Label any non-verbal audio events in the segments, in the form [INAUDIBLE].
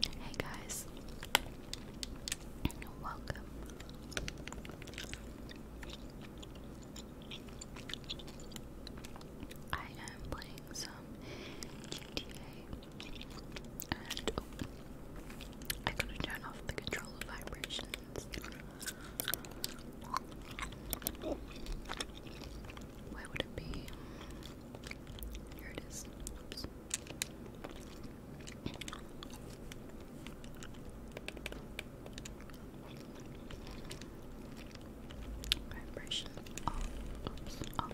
Hey guys, welcome. I am playing some GTA, and I gotta turn off the control vibrations. Where would it be? Here it is. Oops. Vibration off. so I'm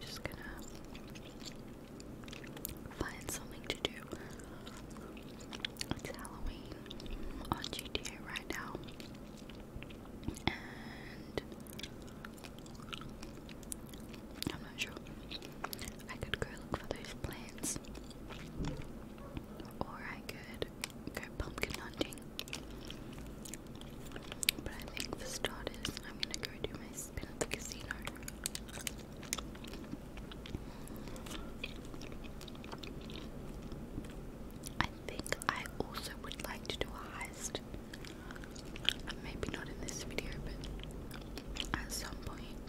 just gonna find something to do. It's Halloween on GTA right now, and I'm not sure. I could go look for those plants, or I could go pumpkin hunting. But I think for starters, I'm gonna go do my spin at the casino. I think I also would like to do a heist. Maybe not in this video, but at some point. [LAUGHS]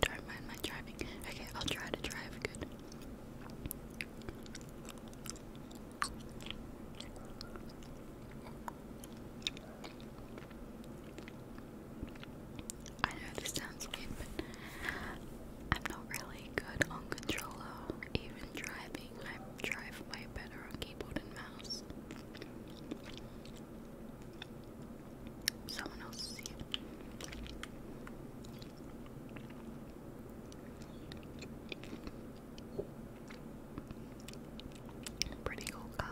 Don't mind my driving. Okay, I'll try to drive good. I know this sounds weird, but I'm not really good on controller, even driving. I drive way better on keyboard and mouse. Someone else is Pretty cool car.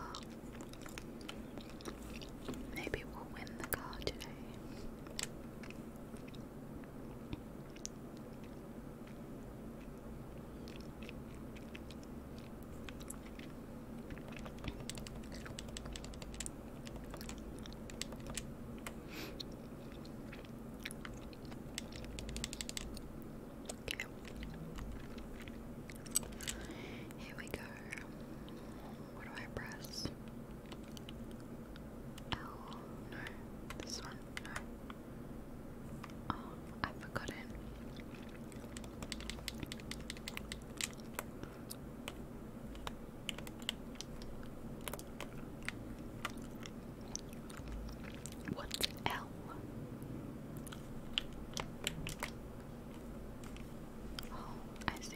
Maybe we'll win the car today. Okay. Here we go. What do I press? L. No. This one. No. Oh, I've forgotten. What's L? Oh, I see.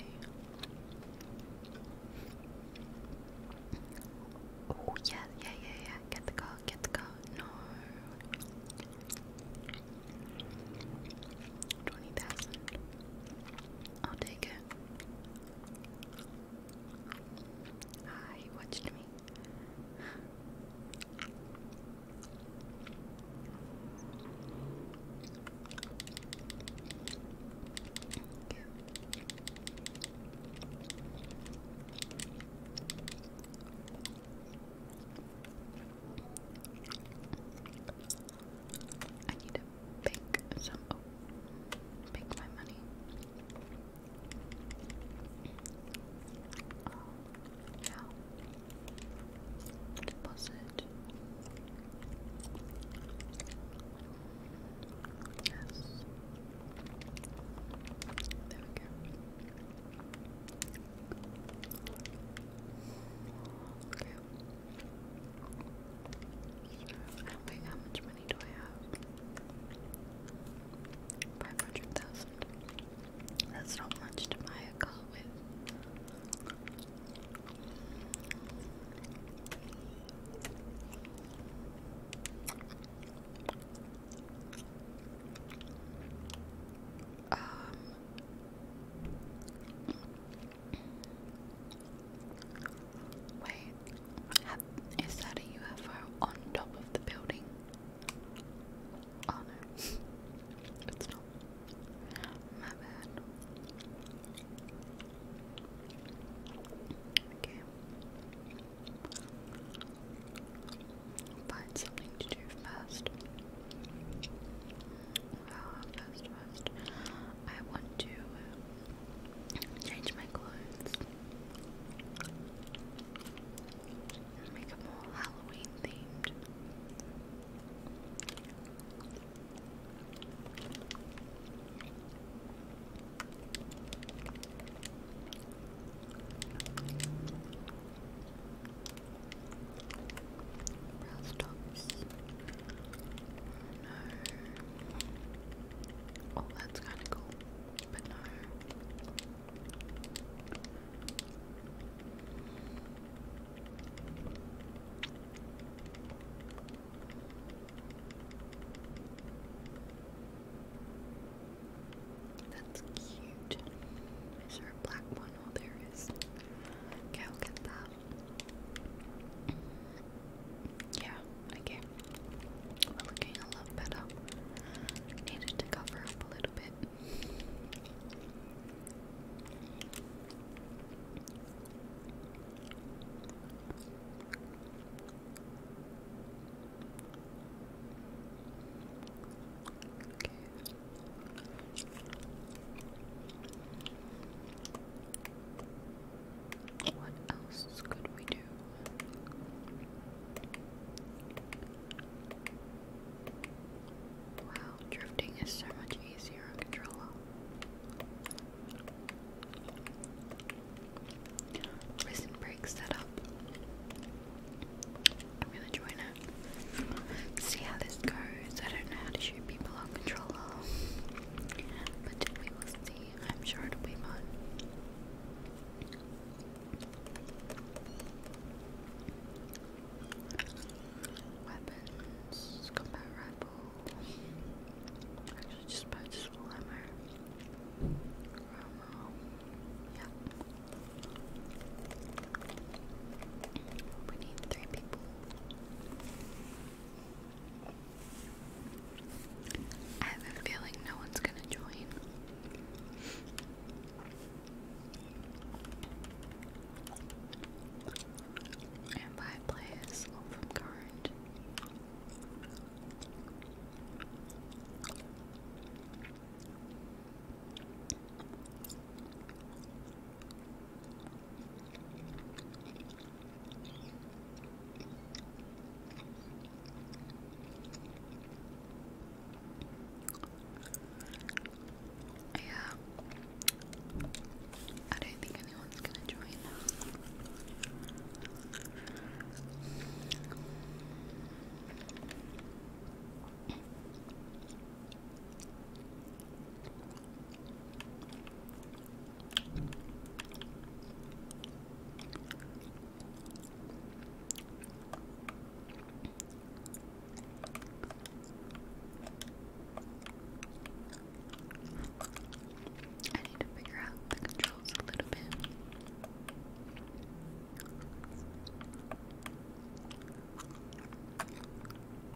Oh, yeah, yeah, yeah, yeah. Get the car, get the car. No. 20,000. I'll take it. Ah, he watched me. I need to bake some. Oh, my money. yeah. Deposit. Yes. There we go. Okay. Wait, how much money do I have? Five hundred thousand. That's not much to buy a car with. Um, Wait, have, is that a UFO on top of the building? Oh no, it's not. My bad. Okay. Find something to do first. Uh, first, I want to uh, change my clothes make it more Halloween themed. Brow stops. Oh, no. Oh, that's kind of cool, but no. That's cute. Is there black one? Oh, there is. Okay, I'll get that. Yeah, okay. We're looking a lot better. Needed to cover up a little bit. What else could we do? Wow, drifting is so much easier on controller. Prison break setup. I'm gonna it. See how this goes. I don't know how to shoot people on controller. But we will see. I'm sure it'll be fun. Weapons, combat rifle. Actually, just purchased full armor. Romo. Yeah. We need three people. I have a feeling no one's gonna join. And by players all from current. Yeah. I don't think anyone's gonna join. I need to figure out the controls a little bit.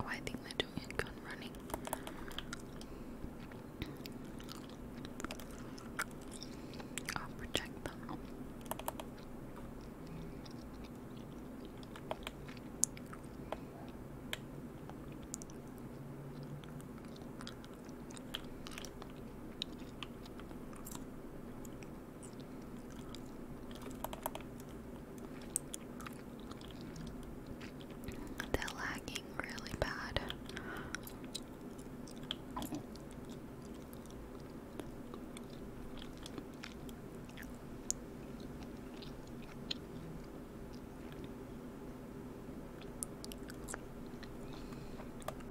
Oh, I think they're doing a gun running. I'll protect them. They're lagging really bad.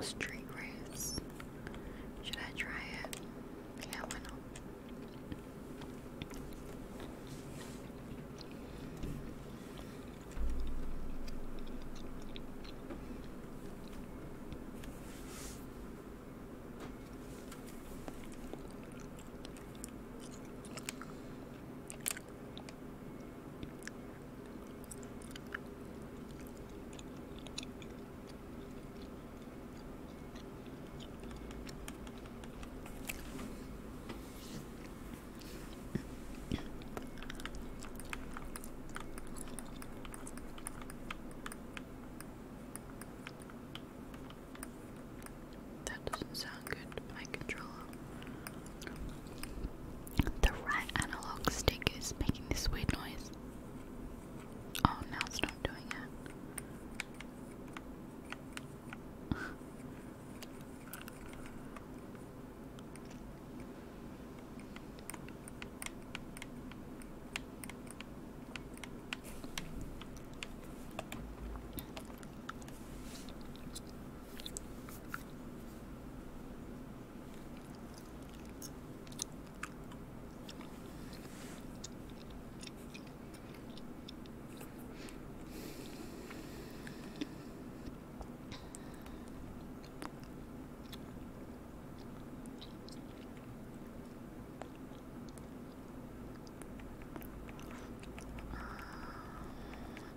Street race. Should I try it? Yeah, why not? That doesn't sound good. My controller. The right analog stick is making this weird noise. Oh, now it's not doing it.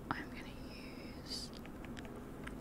I'm going to use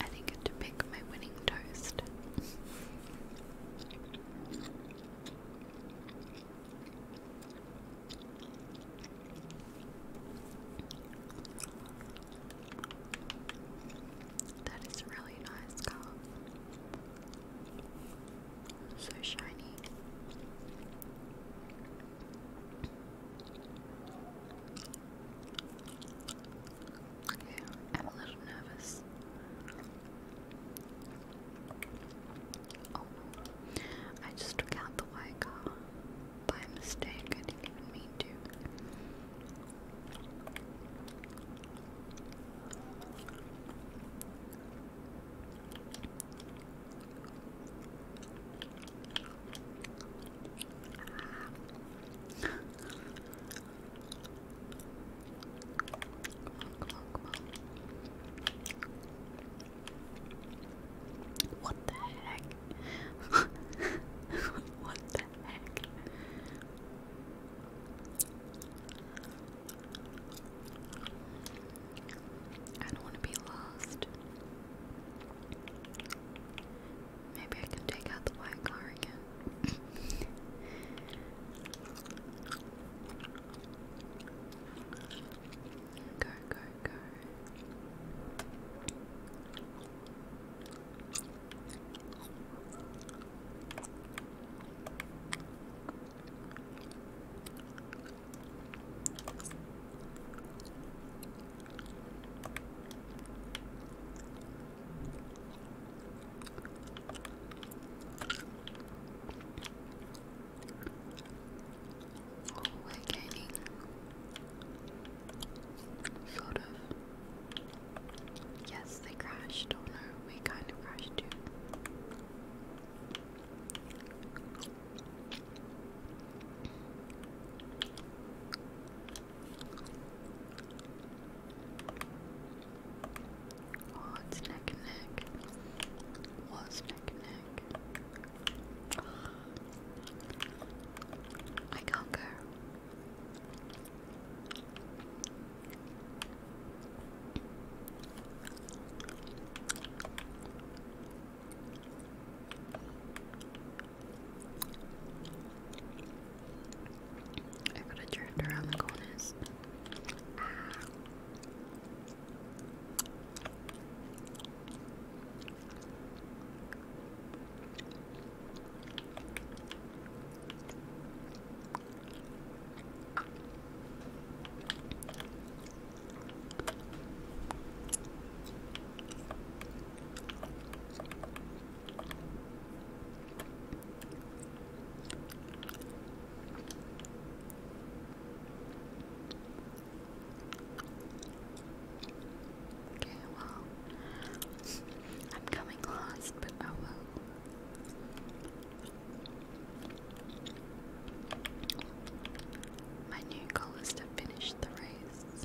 I think to pick my winning toast. That is really nice, Carl. So shiny. I'm a little nervous. Oh, I just took out the Y by mistake. I didn't even mean to. What the heck? [LAUGHS] what the heck? I don't want to be lost. Maybe I can take out the white car again. [LAUGHS] go, go, go sort of. Yes, they crashed. Oh no, we kind of crashed too. Oh, it's neck and neck. Was well, neck and neck. I conquer. I gotta drift around the corners. Ah. Okay, well, I'm coming close, but I will. My new goal is to finish the race.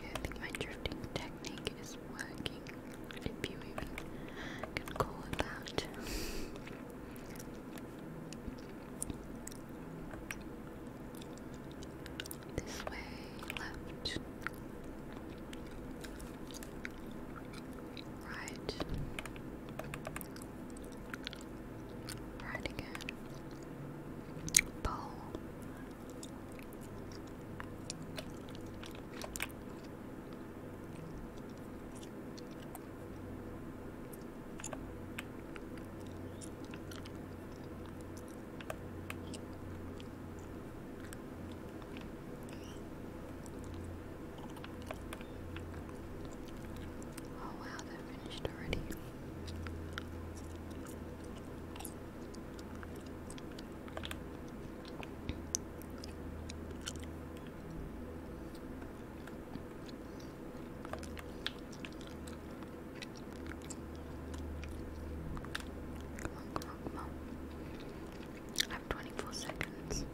I think my drifting technique is working, if you even can call it that. This way, left, right, Right again. Bowl. Oh wow, they're finished already. I have 24 seconds.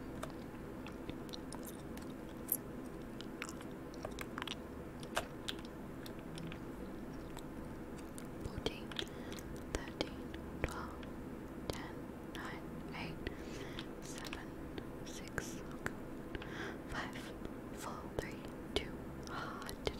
Fourteen, thirteen, twelve, ten, nine, eight, seven, six, five, four, three, two. Ah, oh, I did it.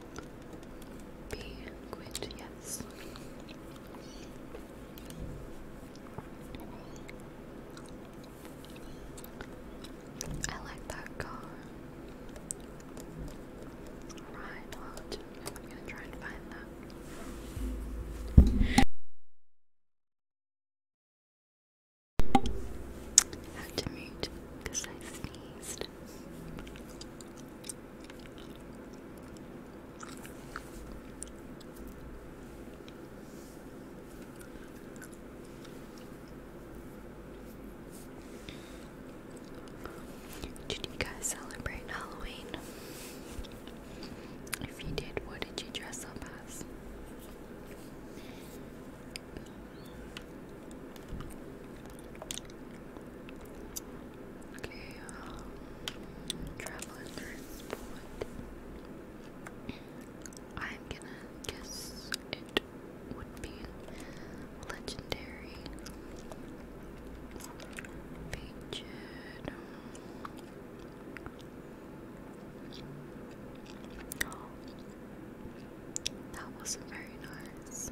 B quit, yes. I like that car. Reinhardt. I'm gonna try and find that. Had to mute because I sneezed. Did you guys celebrate Halloween? If you did, what did you dress up as? Okay, um, travel and I'm gonna guess it would be legendary. Um, that wasn't very nice.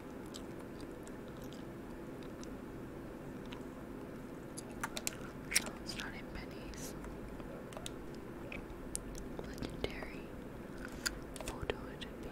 Oh, it's not in pennies. Legendary. Photo, it should be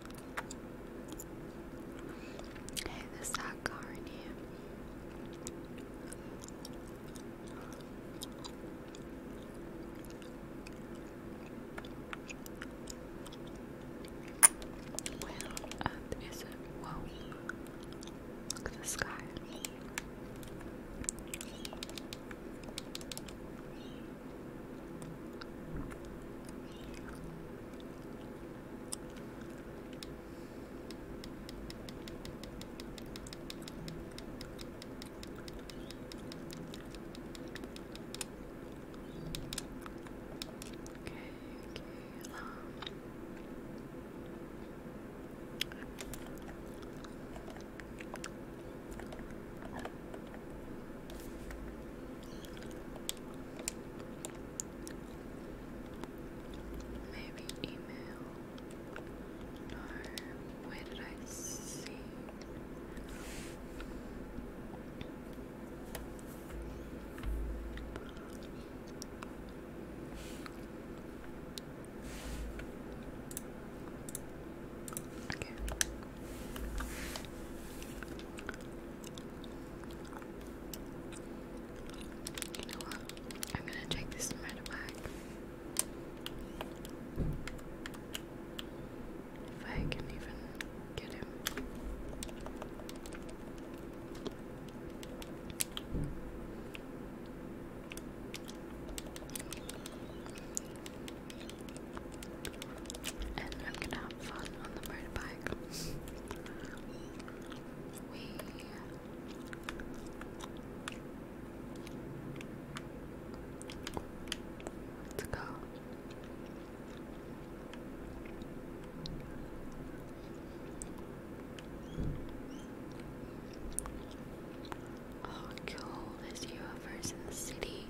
Hey, there's that car here. Where it? Whoa. Look at the sky okay, um. Okay, Maybe email. No, where did I see? Okay. You I'm gonna take this matter back. If I can even get him and I'm gonna have fun on the motorbike. let's go. Oh, cool! There's UFOs in the city.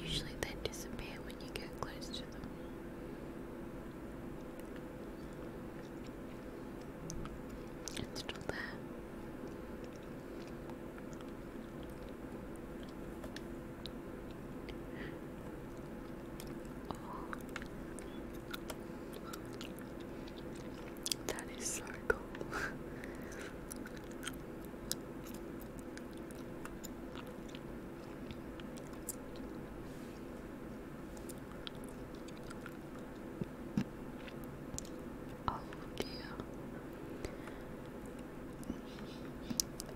Usually they disappear when you get close to them. It's still there. That is so cool. [LAUGHS] Oh dear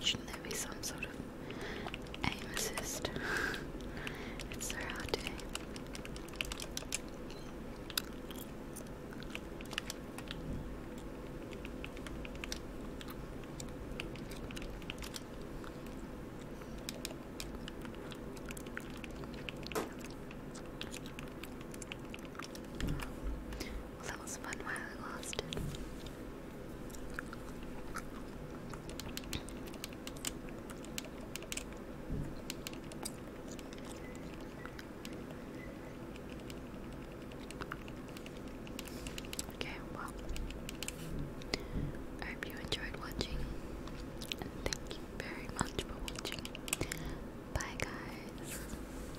Shouldn't there be some sort of aim assist? it's so hard that was fun while I lost it. Okay, well, I hope you enjoyed watching, and thank you very much for watching. Bye, guys.